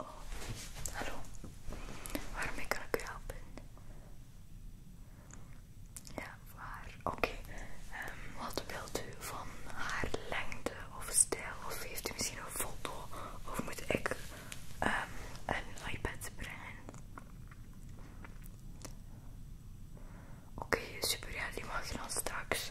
Oh, hallo. Waarmee kan ik u helpen? Ja, waar? Oké. Ehm, wat wilt u van haar lengte of stijl? Of heeft u misschien een foto? Of moet ik ehm, een iPad brengen? Oké, super. Ja, die mag je dan straks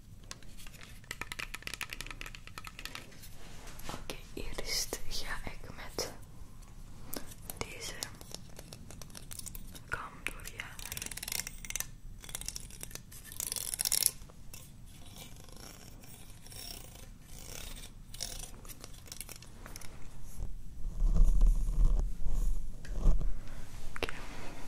Oké, okay, eerst ga ik met deze kam door je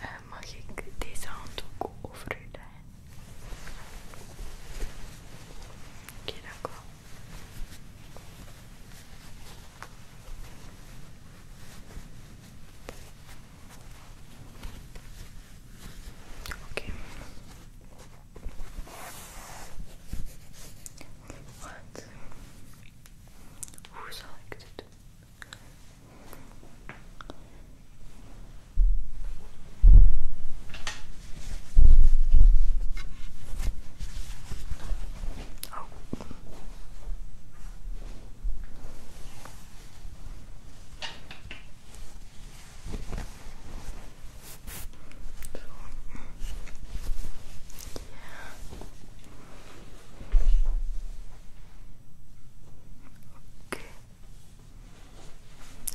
Eh, mag ik deze handdoek over u Oké, Okay. What? Who selected? Oh. Oké.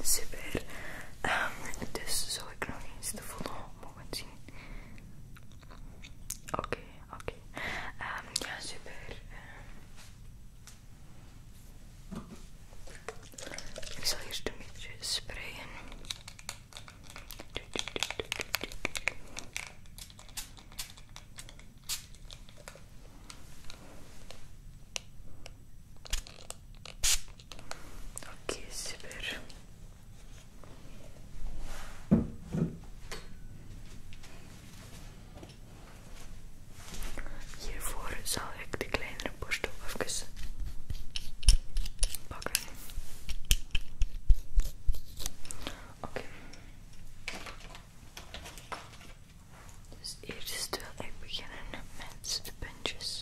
Super. Ehm, dus zou ik nog eens de volgende mogen zien. Oké, oké. Ehm, ja, super. Ehm, ik zal eerst een beetje sprayen. okay, super. Hiervoor zal ik de kleinere borstel even pakken. Oké. Dus eerst dus wil ik beginnen met de puntjes.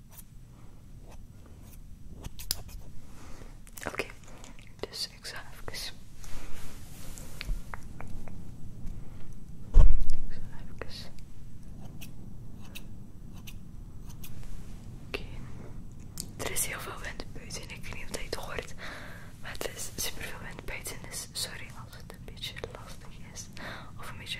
Oké, dus ik zal even. Ik zal even. Oké. Er is heel veel wind buiten. Ik weet niet of je het hoort. Maar het is super veel wind buiten. Dus sorry als het een beetje lastig is. Of een beetje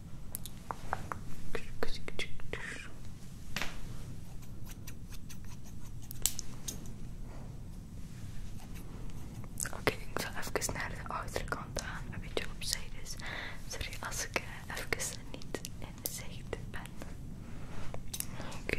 Oké, okay, ik zal even naar de achterkant aan, een beetje opzij dus. Sorry als ik eh, even niet in zicht ben. Oké,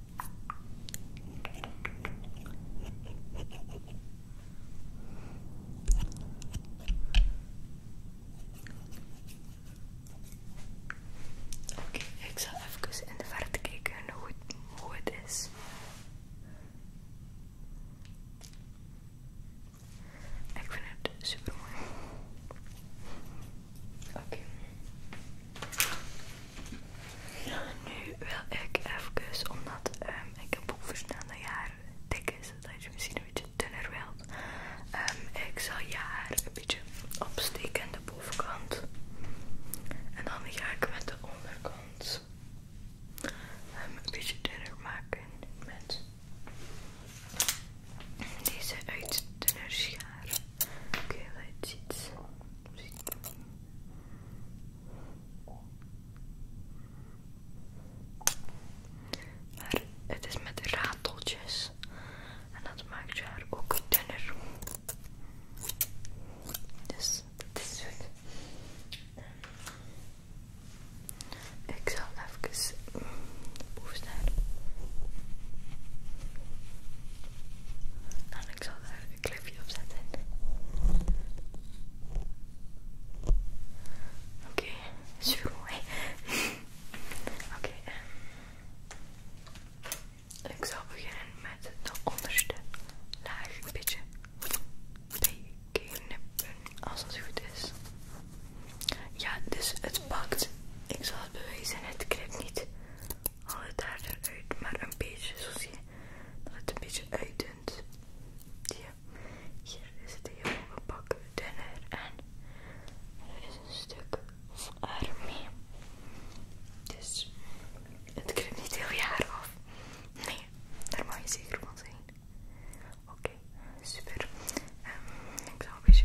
Oké, ik zal even in de verte kijken hoe het, hoe is. Ik vind het super mooi. Oké. Nu wil ik even, omdat ehm, ik heb ook verstaan dat je haar dik is, dat je misschien een beetje dunner wilt. Ehm, ik zal je haar een beetje opsteken aan de bovenkant. En dan ga ik met de onderkant ehm, een beetje dunner maken met deze uit dunner schaar. Oké, dat let's maar het is met rateltjes en dat maakt je haar ook dunner. Dus dat is goed. Ik zal even boven staan. En ik zal ik een clipje opzetten. Oké, okay, super Oké, eh. ik zal beginnen met de onderste laag een beetje knippen als dat goed is. Ja, dus het pakt. Ik zal het bewijzen, het knipt niet haal het daar eruit, maar een beetje, zo zie je dat het een beetje uitdunt. Hier is het heel een pak dunner en er is een stuk arm mee. Dus het kruipt niet heel je haar af. Nee, daar mag je zeker van zijn. Oké, super. Ehm, ik zal een beetje.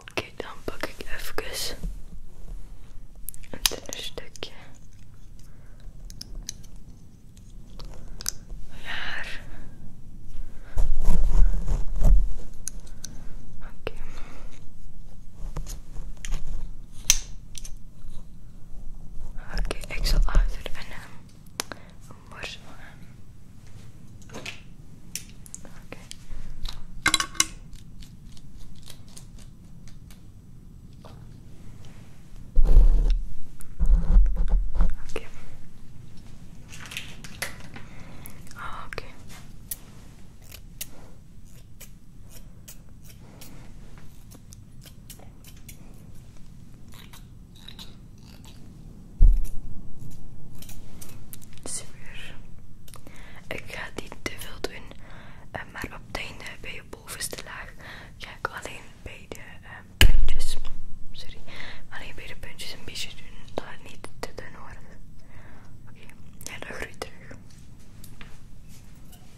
Oké, dan pak ik even een dunner stukje haar. Oké. Oké, okay, ik zal achter en een ehm, Oké. Oké. Super. Ik ga niet te veel doen, eh, maar op het einde bij je bovenste laag ga ik alleen bij de ehm, puntjes, sorry, alleen bij de puntjes een beetje doen, dat het niet te dun wordt. Oké, en ja, dat terug.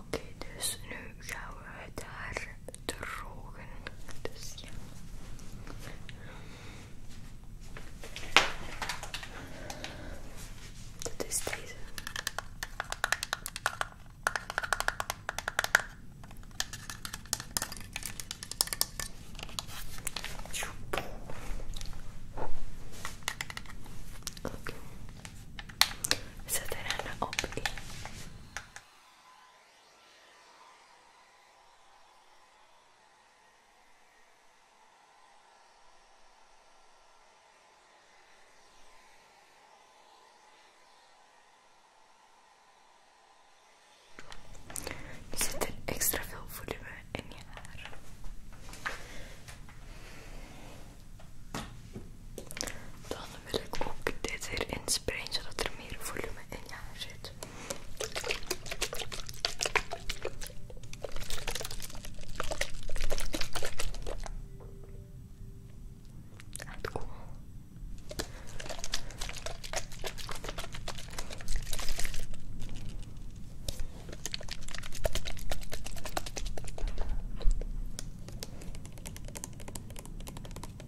Oké, dus nu gaan we het haar drogen. Dus ja. Dat is deze. Oké. Zet er op. Is zit er extra veel volume in je haar. Dan wil ik ook dit in sprayen zodat er meer volume in je zit. cool.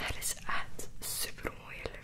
That is echt super mooi.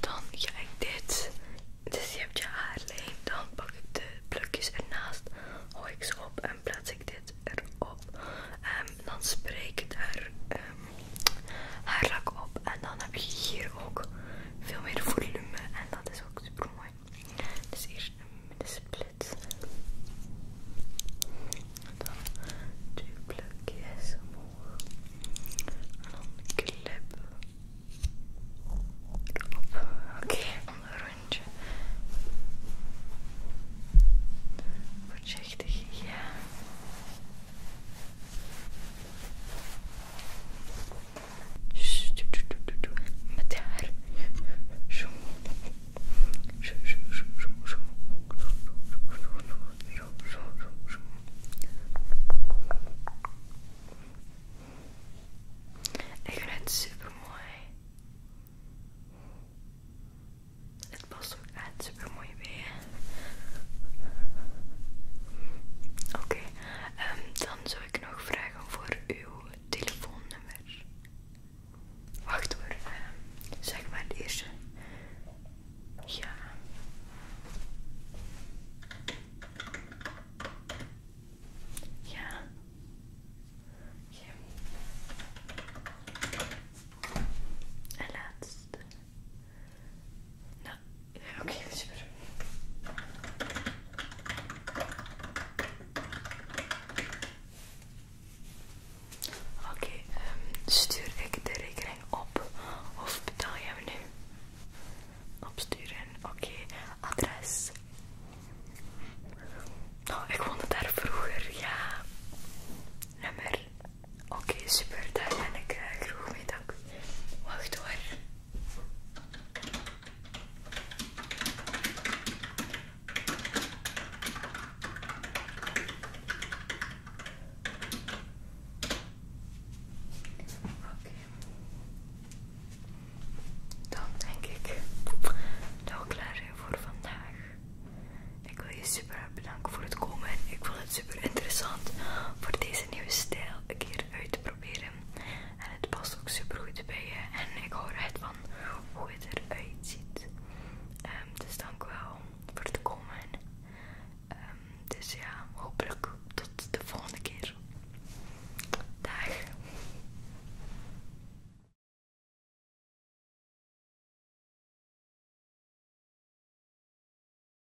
Dan ga ik dit. Dus je hebt je leeg, Dan pak ik de plukjes ernaast. Gooi ik ze op en plaats ik dit erop. En ehm, dan spreek ik daar ehm, haarlak op. En dan heb je hier ook veel meer volume en dat is ook super mooi. Dus eerst een middensplit. Dan twee plukjes omhoog. En dan een clip. Oké, okay, een rondje. Voorzichtig, ja. Ik vind het super mooi. Het past ook echt super mooi bij. Oké, Ehm, dan zou ik nog vragen voor uw telefoonnummer. Wacht hoor, ehm, zeg maar het eerste. Ja. Ja. ja. En laatste. Nou, oké, super. Oké, ehm, stuur ik de rekening op of betaal jij me nu? Opsturen, oké. Adres. Oh, ik woonde daar vroeger, ja. Nummer. Oké, super, daar ben ik uh, mee, dank. Wacht hoor. Okay. Dan denk ik dat we klaar voor vandaag. Ik wil je super bedanken voor het komen. Ik super interessant voor deze nieuwe stijl een keer uit te proberen. En het past ook super goed bij je. En ik hoor echt van hoe het eruit ziet. Ehm, dus dank wel voor het komen. Ehm, dus ja, hopelijk tot de volgende keer. Dag.